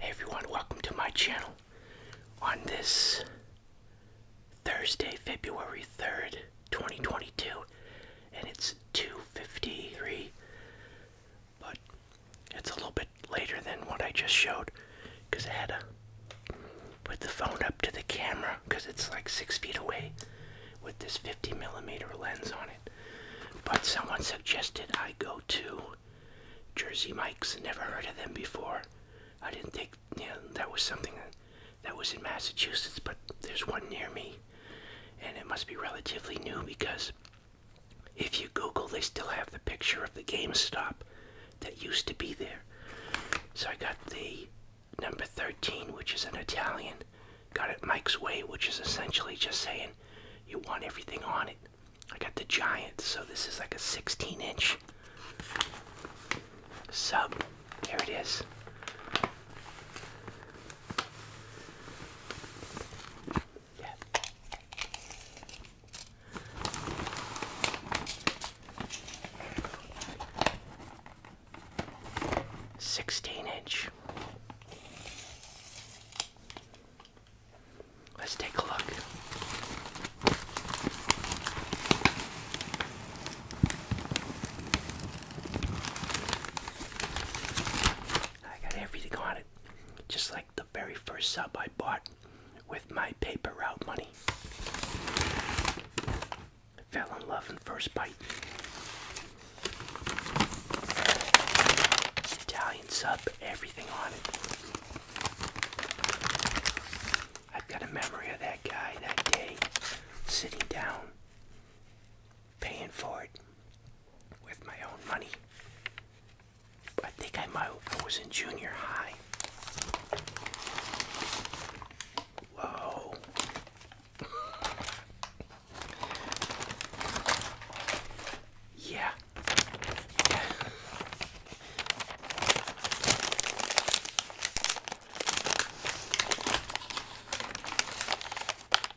everyone, welcome to my channel. On this Thursday, February 3rd, 2022, and it's 2:53, but it's a little bit later than what I just showed because I had to put the phone up to the camera because it's like six feet away with this 50 millimeter lens on it. But someone suggested I go to Jersey Mike's. Never heard of them before. I didn't think that was something that, that was in Massachusetts, but there's one near me. And it must be relatively new because if you Google, they still have the picture of the GameStop that used to be there. So I got the number 13, which is an Italian Got it Mike's Way, which is essentially just saying you want everything on it. I got the giant, so this is like a 16 inch sub. Here it is. Sixteen inch. Let's take a look. I got everything on it, just like the very first sub I bought with my paper route money. fell in love in first bite. Italian sub, everything on it. I've got a memory of that guy that day sitting down, paying for it with my own money. I think I might, I was in junior high. Whoa. Yeah. yeah.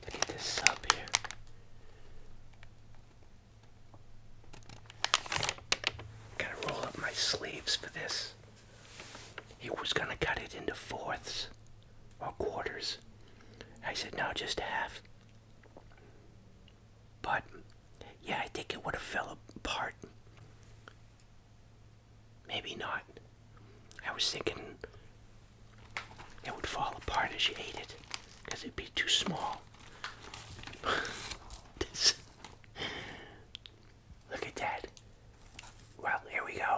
Look at this sub here. Gotta roll up my sleeves for this. He was gonna cut it into fourths or quarters. I said, no, just half. But yeah, I think it would have fell apart. Maybe not. I was thinking it would fall apart as she ate it because it'd be too small. Look at that. Well, here we go.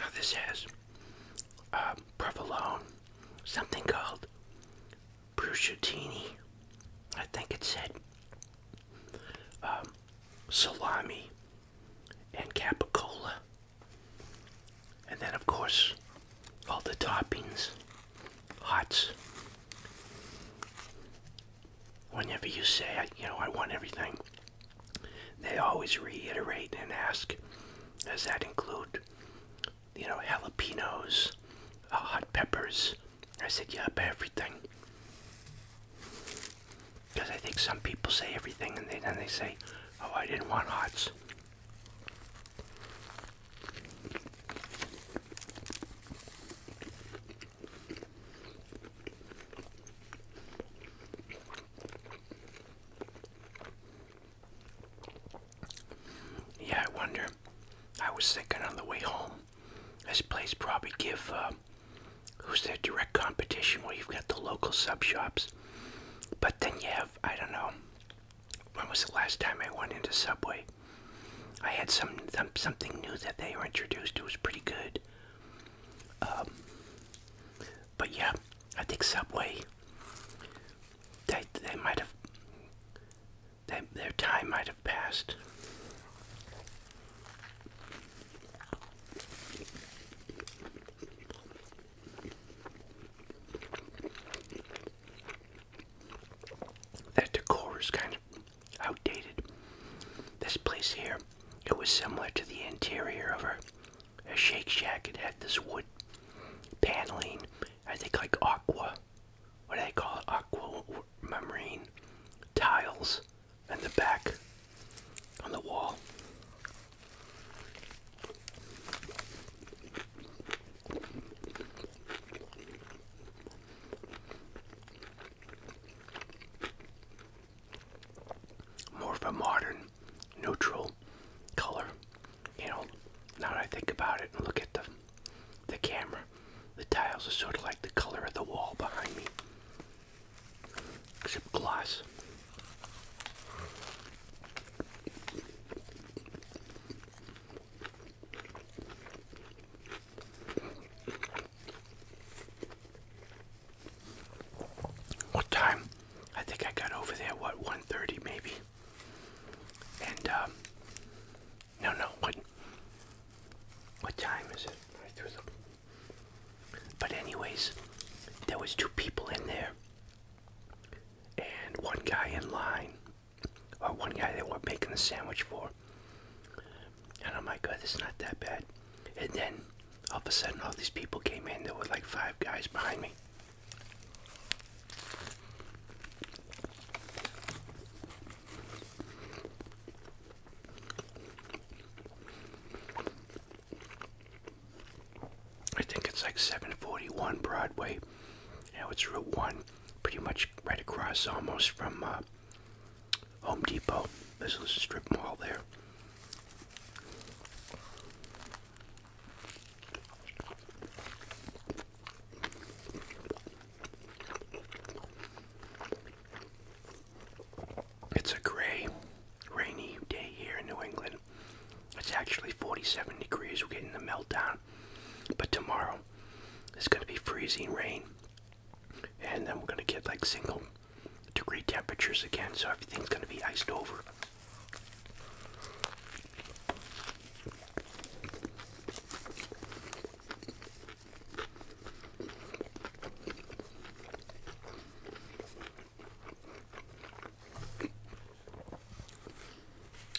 Now this has uh, provolone, something called bruschettini. I think it said um, salami and capicola, and then of course all the toppings, hots. Whenever you say, you know, I want everything, they always reiterate and ask, does that include, you know, jalapenos, uh, hot peppers? I said, yep, everything. Because I think some people say everything and then they say, oh, I didn't want hots. Yeah, I wonder. I was thinking on the way home, this place probably give uh, who's their direct competition? Well, you've got the local sub shops, but then you have I don't know. When was the last time I went into Subway? I had some, some something new that they introduced. It was pretty good. Um, but yeah, I think Subway. They they might have. They, their time might have passed. That decor is kind of outdated. This place here, it was similar to the interior of a, a Shake Shack. It had this wood paneling, I think like aqua, what do they call it? Aqua marine tiles in the back on the wall more of a modern, neutral color. You know, now that I think about it and look at the the camera, the tiles are sort of like the color of the wall behind me, except glass. What time? I think I got over there, what, 1.30 maybe? And, um, no, no, what, what time is it? But anyways, there was two people in there. And one guy in line, or one guy they were making the sandwich for, and oh my God, it's not that bad. And then all of a sudden, all these people came in. There were like five guys behind me. I think it's like 741 Broadway. Now it's Route 1, pretty much right across almost from uh, Home Depot. This is a strip mall there. It's a gray, rainy day here in New England. It's actually 47 degrees. We're getting the meltdown. But tomorrow, it's going to be freezing rain. And then we're going to get like single degree temperatures again, so everything's going to be iced over.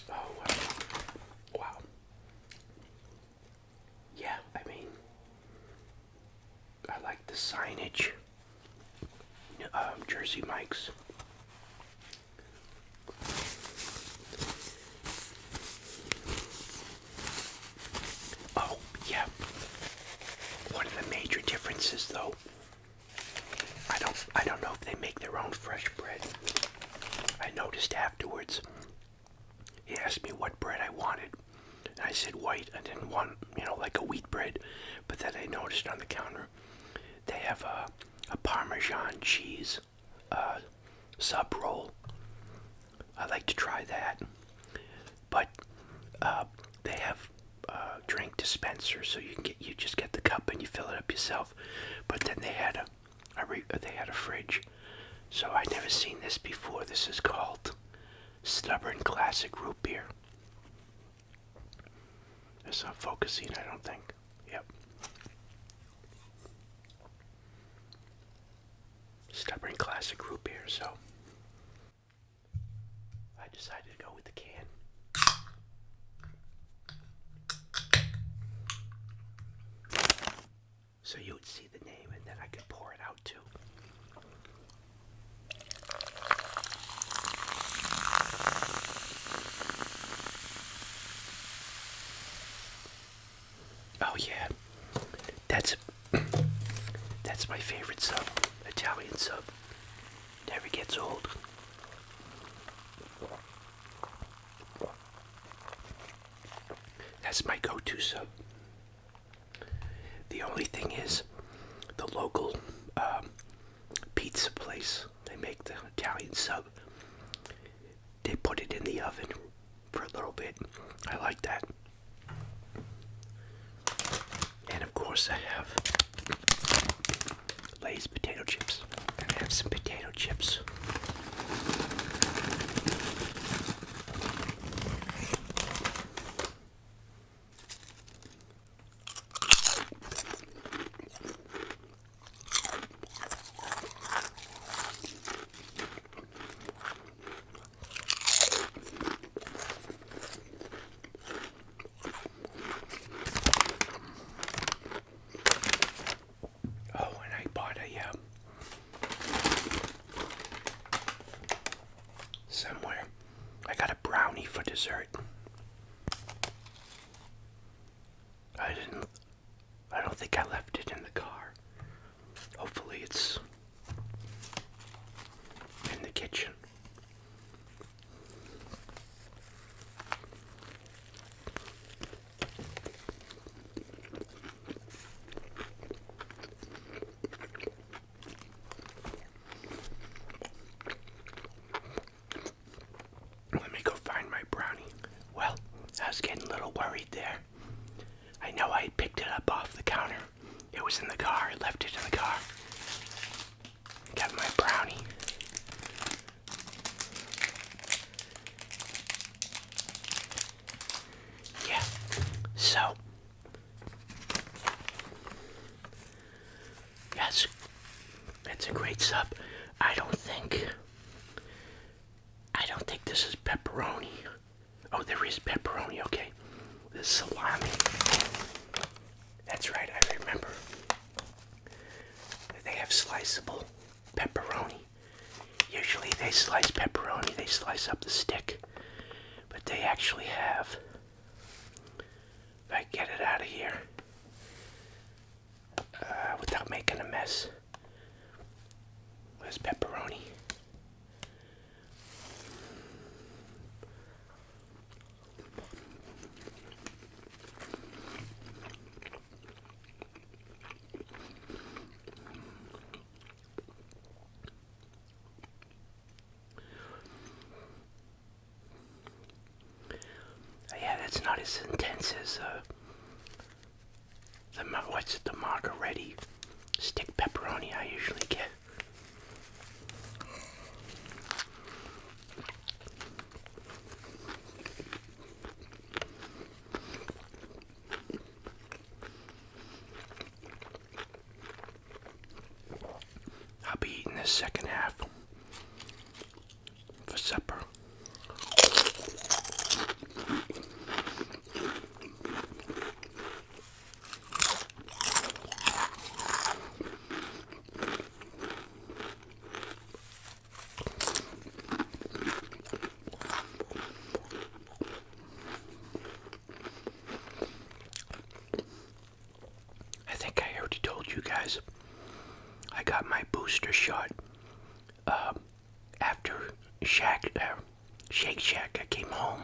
Oh wow. wow yeah, I mean, I like the signage. Um, Jersey Mike's. Oh, yeah. One of the major differences, though, I don't, I don't know if they make their own fresh bread. I noticed afterwards he asked me what bread I wanted. And I said white. I didn't want, you know, like a wheat bread. But then I noticed on the counter they have a, Parmesan cheese uh, sub roll. I like to try that. But uh, they have uh, drink dispenser, so you get you just get the cup and you fill it up yourself. But then they had a, they had a fridge, so I'd never seen this before. This is called Stubborn Classic Root Beer. It's not focusing, I don't think. Yep. Stubborn Classic Root Beer, so I decided to go with the can so you would see the name and then I could pour it out too. Oh yeah, that's that's my favorite sub, Italian sub. Never gets old. That's my go-to sub. The only thing is, the local um, pizza place, they make the Italian sub, they put it in the oven for a little bit. I like that. And of course, I have Lay's potato chips. And I have some potato chips. Oh, and I bought a um, somewhere. I got a brownie for dessert. I didn't. I don't think I left it in the car. Hopefully, it's in the kitchen. Let me go find my brownie. Well, I was getting a little worried there. I know I picked it up off the counter. It was in the car. I left it in the car. Got my brownie. Yeah. So, Yes, it's a great sub. I don't think. I don't think this is pepperoni. Oh, there is pepperoni, okay. This salami. That's right, I remember. They have sliceable pepperoni. Usually they slice pepperoni, they slice up the stick, but they actually have. If I get it out of here uh, without making a mess, where's pepperoni? Oh, yeah, that's not as intense as uh, the what's it, the margarita stick pepperoni I usually get. I'll be eating this second half for supper. I think I already told you guys I got my booster shot um, after Shack, uh, Shake Shack. I came home.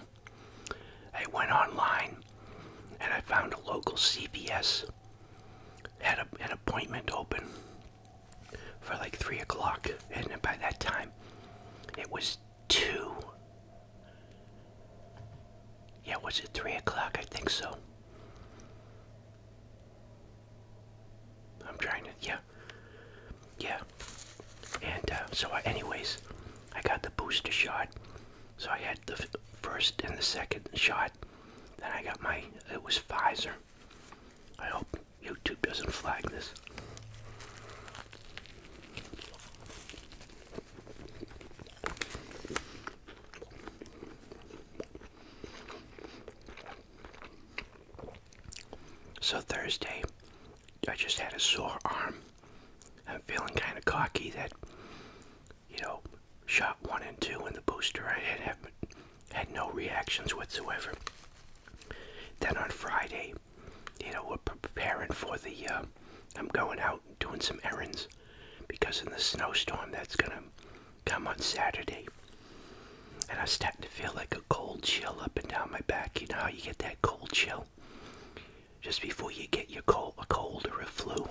I went online and I found a local CVS had an appointment open for like 3 o'clock. And by that time, it was two. Yeah, was it three o'clock? I think so. I'm trying to, yeah. Yeah. And uh, so, anyways, I got the booster shot. So I had the first and the second shot. Then I got my, it was Pfizer. I hope YouTube doesn't flag this. So Thursday, I just had a sore arm. I'm feeling kind of cocky that, you know, shot one and two in the booster, I had, had no reactions whatsoever. Then on Friday, you know, we're preparing for the, uh, I'm going out and doing some errands because of the snowstorm that's going to come on Saturday. And I'm starting to feel like a cold chill up and down my back. You know how you get that cold chill? Just before you get your cold, a cold or a flu.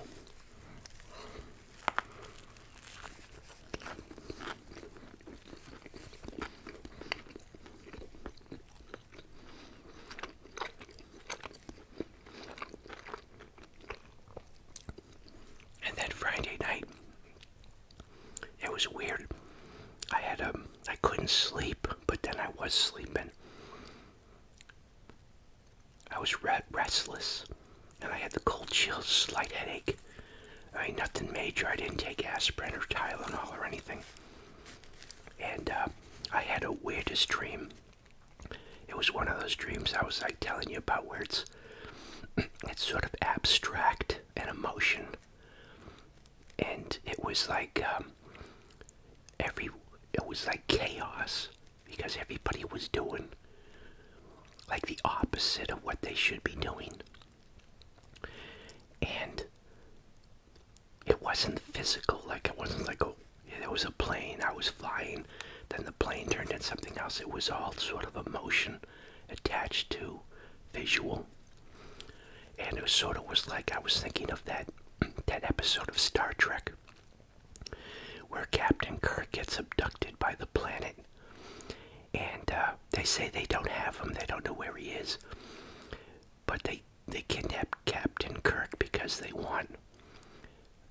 And then Friday night, it was weird. I had a, um, I couldn't sleep, but then I was sleeping. I was restless, and I had the cold chills, slight headache. I nothing major. I didn't take aspirin or Tylenol or anything and uh, I had a weirdest dream. It was one of those dreams I was like telling you about where it's it's sort of abstract and emotion, and it was like um, every it was like chaos because everybody was doing like the opposite of what they should be doing, and it wasn't physical. Like it wasn't like, oh, it was a plane. I was flying. Then the plane turned into something else. It was all sort of emotion attached to visual. And it sort of was like I was thinking of that that episode of Star Trek where Captain Kirk gets abducted by the planet. And uh, they say they don't have him, they don't know where he is but they they kidnap Captain Kirk because they want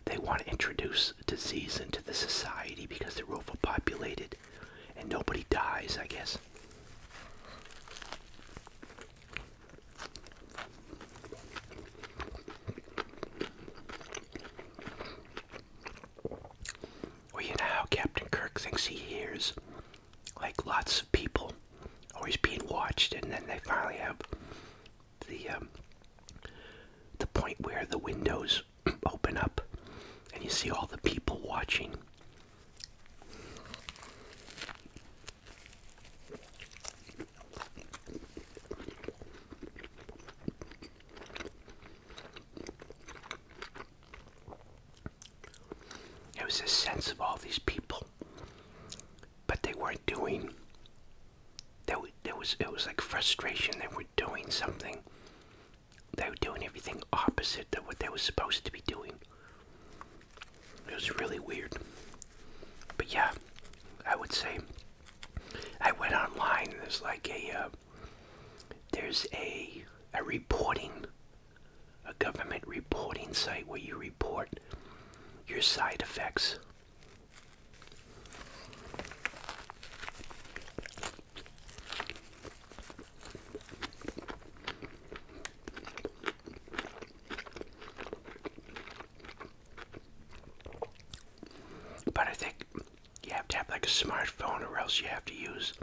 they want to introduce disease into the society because they're overpopulated and nobody dies, I guess. Well, you know how Captain Kirk thinks he hears like lots of people always being watched, and then they finally have the um, the point where the windows open up, and you see all the people watching. It was a sense of all these people, but they weren't doing. there was it was like frustration. They were doing something. They were doing everything opposite to what they were supposed to be doing. It was really weird. But yeah, I would say I went online and there's like a uh, there's a a reporting a government reporting site where you report your side effects. But I think you have to have like a smartphone or else you have to use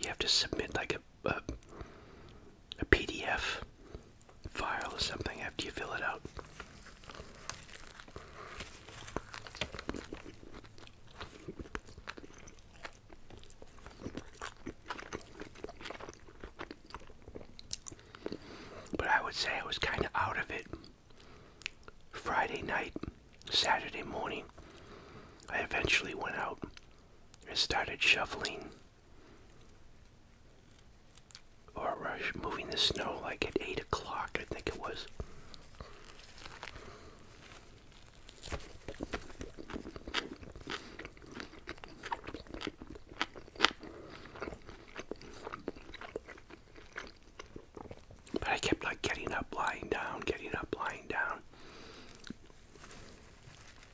you have to submit like a a, a PDF file or something after you fill it out. But I would say I was kind of out of it Friday night, Saturday morning. I eventually went out I started shoveling or rush moving the snow like at 8 o'clock, I think it was. But I kept like getting up, lying down, getting up, lying down.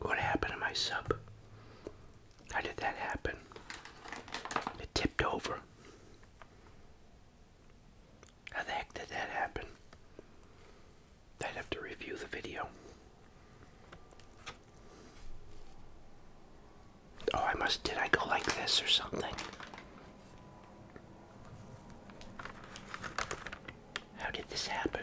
What happened to my sub? How did that happen? It tipped over. How the heck did that happen? I'd have to review the video. Oh, I must, did I go like this or something? How did this happen?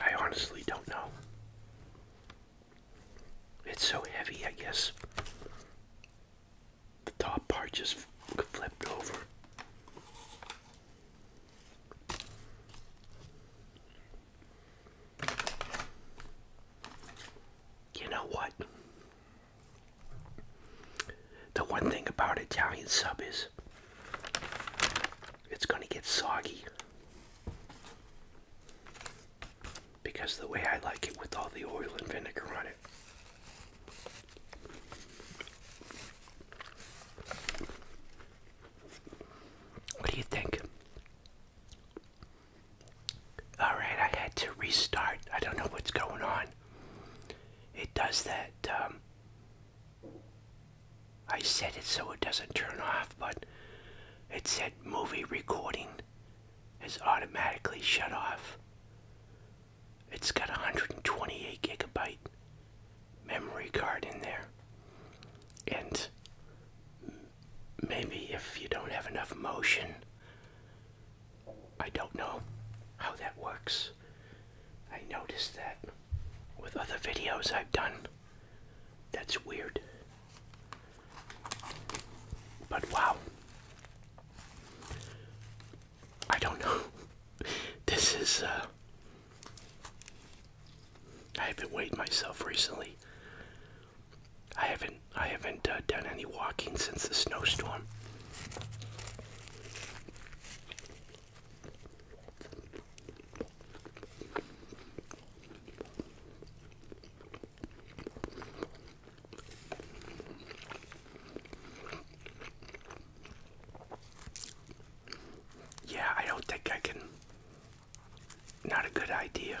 I honestly don't know. It's so heavy, I guess. The top part just flipped over you know what? The one thing about Italian sub is it's going to get soggy because the way I like it with all the oil and vinegar on it. What do you think? Alright, I had to restart. I don't know what's going on. It does that. Um, I set it so it doesn't turn off, but it said movie recording is automatically shut off. It's got 128 gigabyte memory card in there. And maybe if you don't have enough motion. I don't know how that works. I noticed that with other videos I've done. That's weird. But wow. I don't know. this is, uh. I haven't weighed myself recently. I haven't I haven't uh, done any walking since the snowstorm. Yeah, I don't think I can. Not a good idea.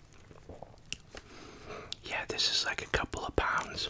Yeah, this is like a couple of pounds.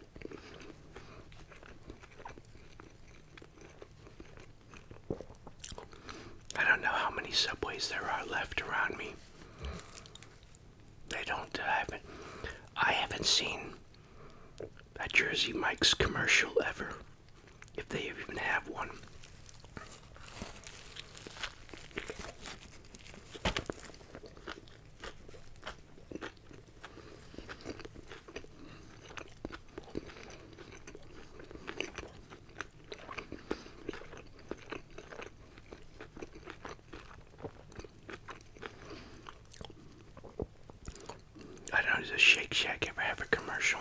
I don't know how many subways there are left around me. They don't. haven't. I haven't seen a Jersey Mike's commercial ever, if they even have one. I don't know, does Shake Shack ever have a commercial?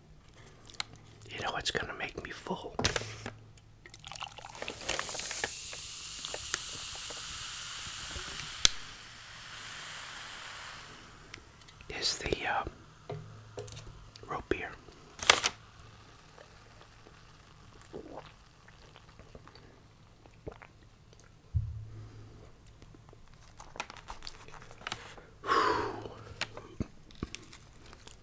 you know it's going to make me full. Is the uh, rope beer?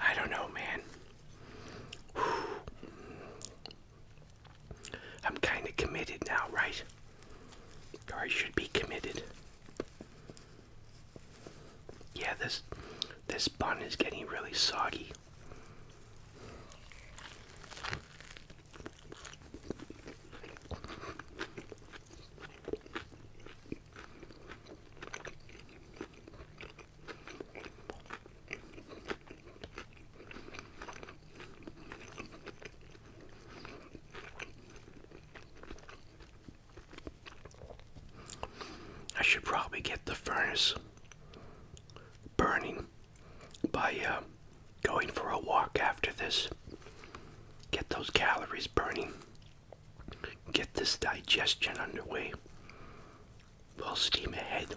I don't know, man. I'm kind of committed now, right? Or I should be committed. Yeah, this this bun is getting really soggy. I should probably get the furnace burning by uh, going for a walk after this. Get those calories burning. Get this digestion underway. We'll steam ahead.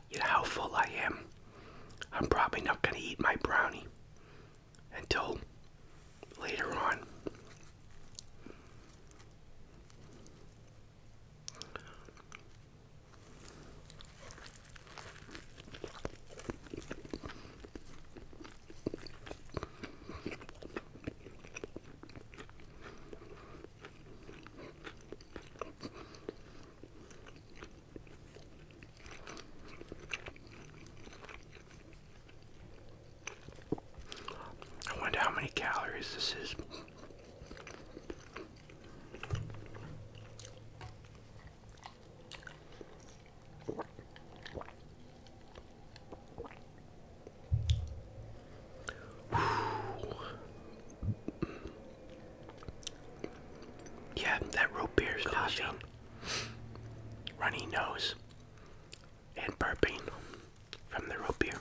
you know how full I am. I'm probably not going to eat my brownie until later on. I wonder how many calories this is. Yeah, that root beer is causing runny nose and burping from the root beer.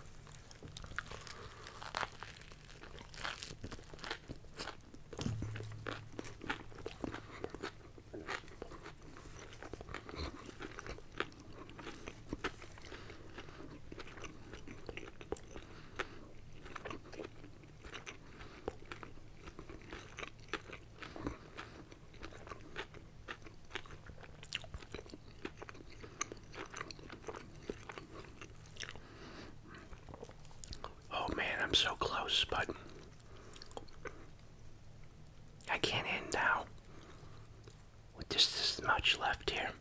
Oh man, I'm so close, but I can't end now with just this much left here.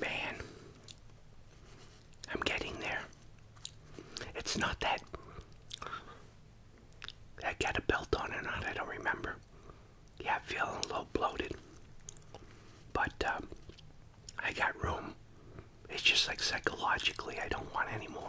Man, I'm getting there. It's not that I got a belt on or not, I don't remember. Yeah, I'm feeling a little bloated. But um, I got room. It's just like psychologically, I don't want any more.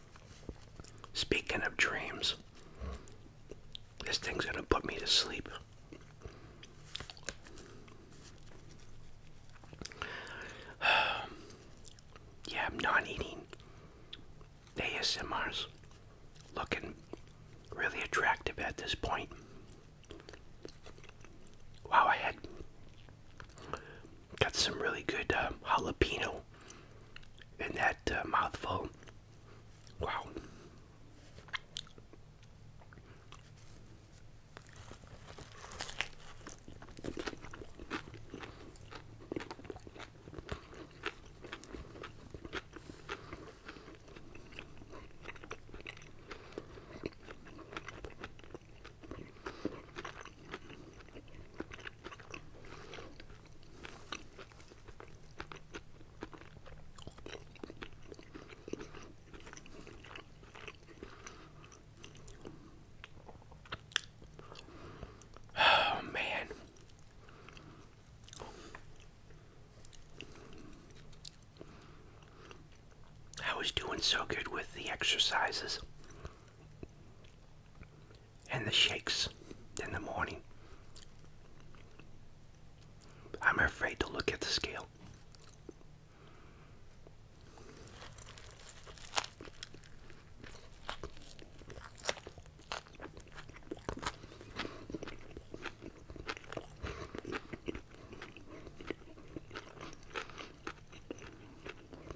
Speaking of dreams, this thing's gonna put me to sleep. yeah, I'm not eating. ASMR's looking really attractive at this point. Wow, I had got some really good uh, jalapeno and that uh, mouthful. Wow. Oh man. I was doing so good with the exercises and the shakes in the morning. I'm afraid to look at the scale.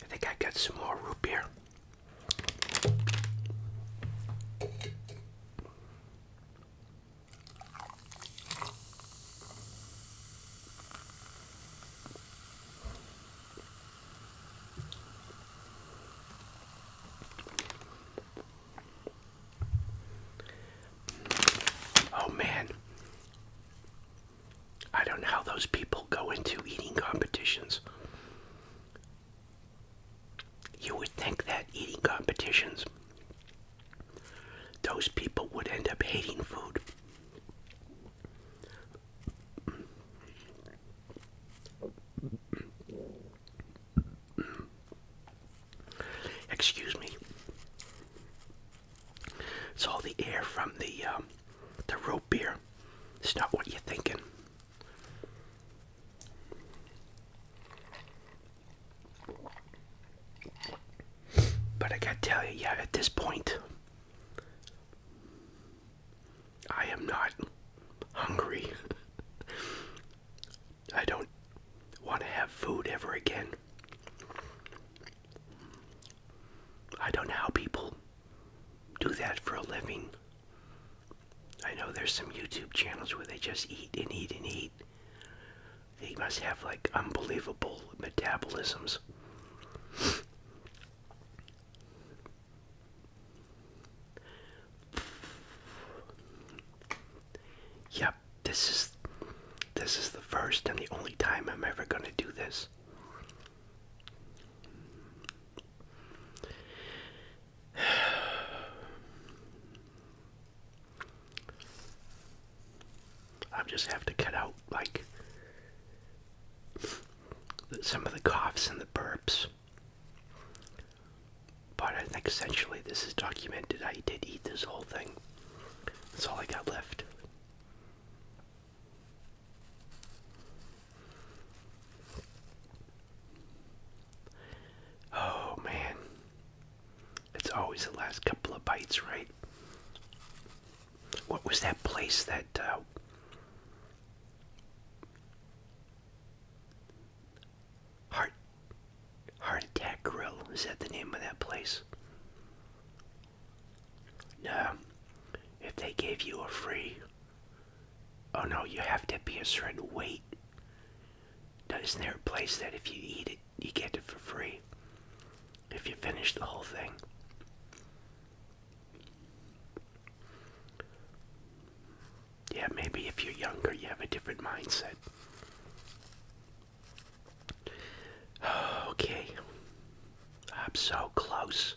I think I got some more root beer. Oh man. I don't know how those people go into eating competitions. You would think that eating competitions those people would end up hating food. Excuse me. It's all the air from the um, the root beer. It's not what you're thinking. But I gotta tell you, yeah, at this point, I am not hungry. I don't want to have food ever again. I don't know how people do that for a living. I know there's some YouTube channels where they just eat and eat and eat. They must have like unbelievable metabolisms. Yep, this is this is the first and the only time I'm ever going to do this i just have to cut out like some of the coughs and the burps. But essentially this is documented. I did eat this whole thing. That's all I got left. Oh man, it's always the last couple of bites, right? What was that place that uh, Heart Heart Attack Grill? Is that the name of that place? No. If they gave you a free, oh no, you have to be a certain weight now, isn't there a place that if you eat it, you get it for free? If you finish the whole thing. Yeah, maybe if you're younger, you have a different mindset. Okay. I'm so close.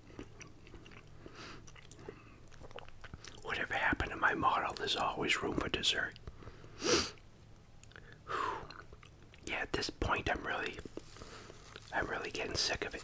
Whatever happened to my model, there's always room for dessert. yeah, at this point, I'm really, I'm really getting sick of it.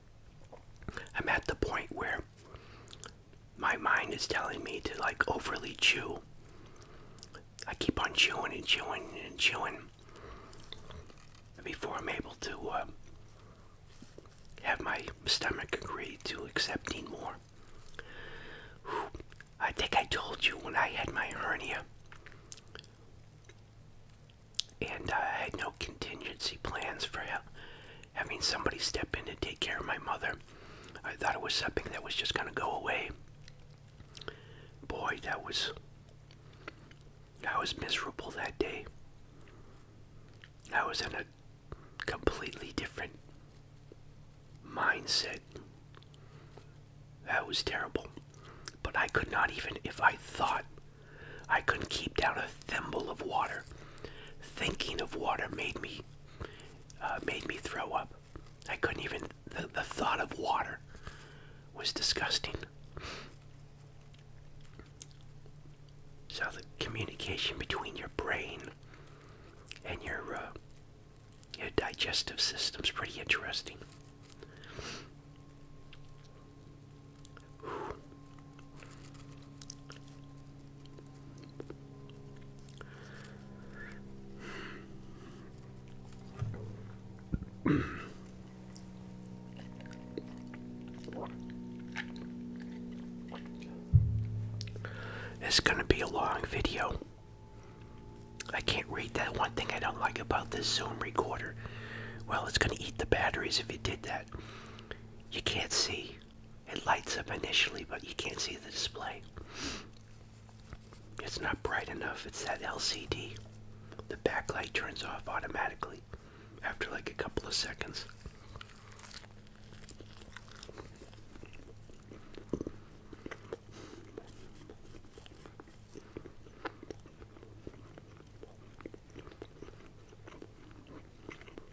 I'm at the point where my mind is telling me to like overly chew. I keep on chewing and chewing and chewing before I'm able to uh, have my stomach agree to accepting more. I think I told you when I had my hernia and I had no contingency plans for having somebody step in and take care of my mother. I thought it was something that was just going to go away. Boy, that was. I was miserable that day. I was in a completely different mindset. That was terrible. But I could not even, if I thought I couldn't keep down a thimble of water. Thinking of water made me uh, made me throw up. I couldn't even the, the thought of water was disgusting. So the communication between your brain and your uh, your digestive system's pretty interesting. Whew. It's going to be a long video. I can't read that. One thing I don't like about this Zoom recorder, well, it's going to eat the batteries if you did that. You can't see. It lights up initially, but you can't see the display. It's not bright enough. It's that LCD. The backlight turns off automatically after like a couple of seconds.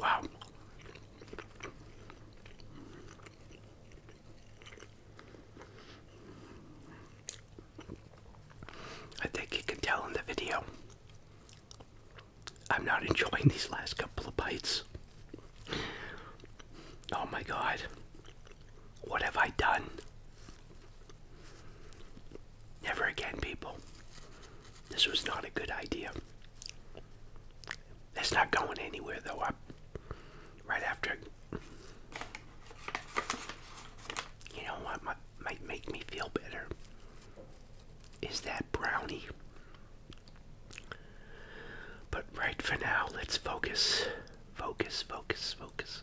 Wow. I think you can tell in the video. I'm not enjoying these last couple of bites. Oh my god. What have I done? Never again, people. This was not a good idea. It's not going anywhere, though. I, right after, you know what might make me feel better is that brownie. But right for now, let's focus, focus, focus, focus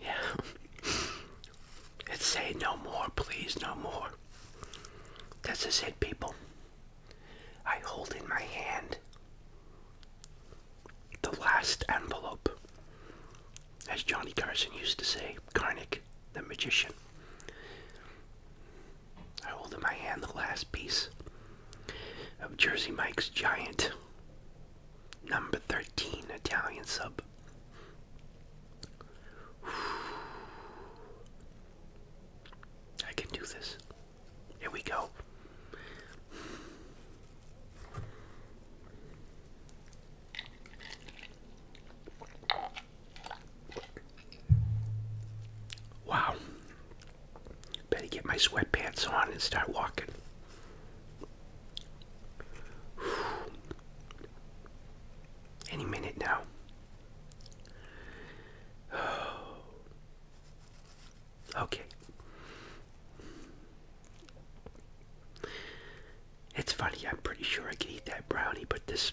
Yeah. It's say no more, please, no more. This is it, people. I hold in my hand the last envelope as Johnny Carson used to say, Karnick the magician. I hold in my hand the last piece of Jersey Mike's Giant number 13 Italian sub. I can do this. Here we go. Wow. Better get my sweatpants on and start walking. Any minute now. Okay. It's funny, I'm pretty sure I could eat that brownie, but this.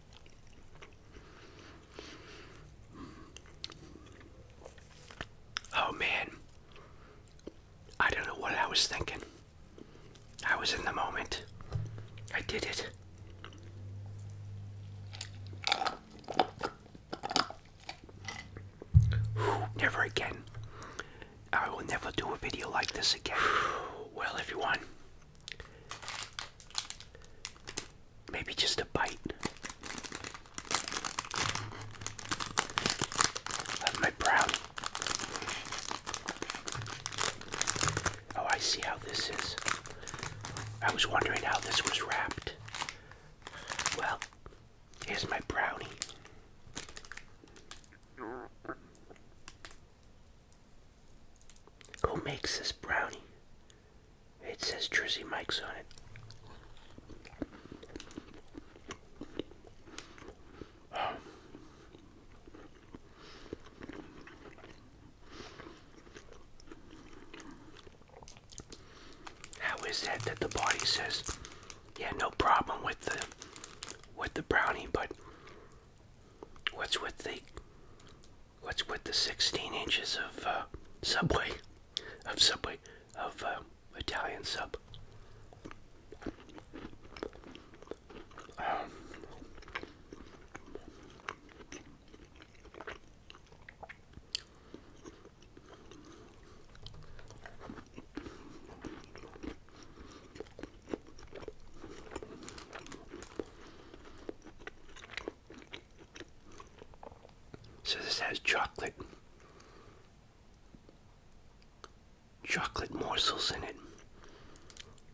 Oh man, I don't know what I was thinking. I was in the moment. I did it. never again. I will never do a video like this again. Well, everyone, Maybe just a bite. my brownie. Oh, I see how this is. I was wondering how this was wrapped. Well, here's my brownie. Who makes this brownie? It says Jersey Mike's on it. How is that that the body says, yeah, no problem with the with the brownie, but what's with the what's with the 16 inches of uh, Subway, of Subway, of uh, Italian sub. Um. So this has chocolate chocolate morsels in it.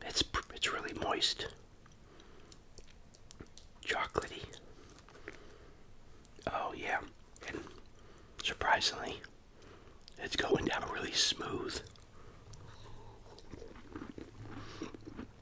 It's it's really moist. Chocolatey. Oh yeah. And surprisingly, it's going down really smooth.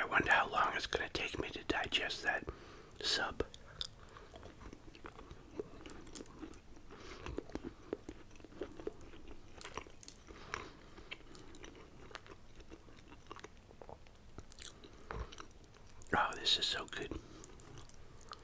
I wonder how long it's going to take me to digest that sub. Oh, this is so good.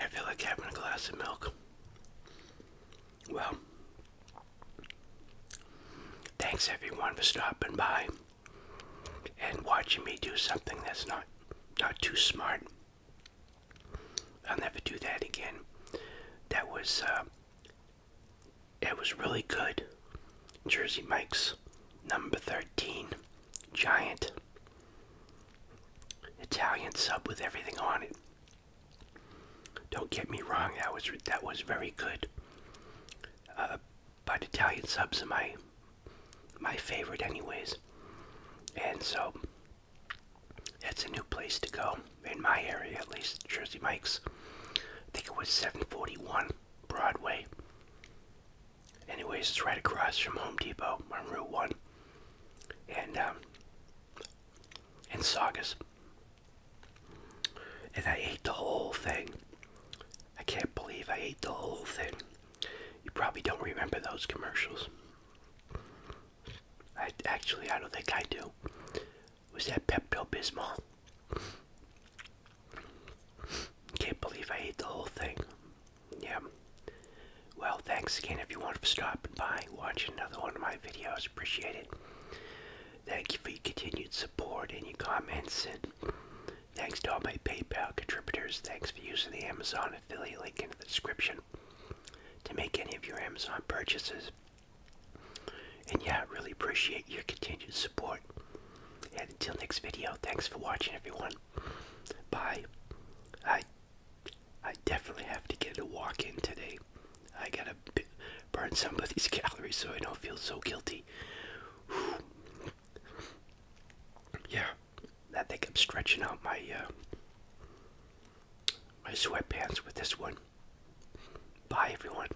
I feel like having a glass of milk. Well, thanks everyone for stopping by and watching me do something that's not not too smart. I'll never do that again. That was uh, it was really good. Jersey Mike's number 13 giant Italian sub with everything on it. Don't get me wrong, that was that was very good. Uh, but Italian subs are my my favorite, anyways. And so it's a new place to go in my area, at least Jersey Mike's. I think it was 741 Broadway. Anyways, it's right across from Home Depot on Route 1 and um, and And I ate the whole thing. I can't believe I ate the whole thing. You probably don't remember those commercials. I actually I don't think I do. Was that Pepto Bismol? Can't believe I ate the whole thing. Yeah. Well, thanks again if you want to stop by, watching another one of my videos. Appreciate it. Thank you for your continued support and your comments. And thanks to all my PayPal contributors. Thanks for using the Amazon affiliate link in the description to make any of your Amazon purchases. And yeah, I really appreciate your continued support. And until next video, thanks for watching everyone. Bye. I I definitely have to get a walk in today. I gotta burn some of these calories so I don't feel so guilty. Yeah, that think i stretching out my uh, my sweatpants with this one. Bye, everyone.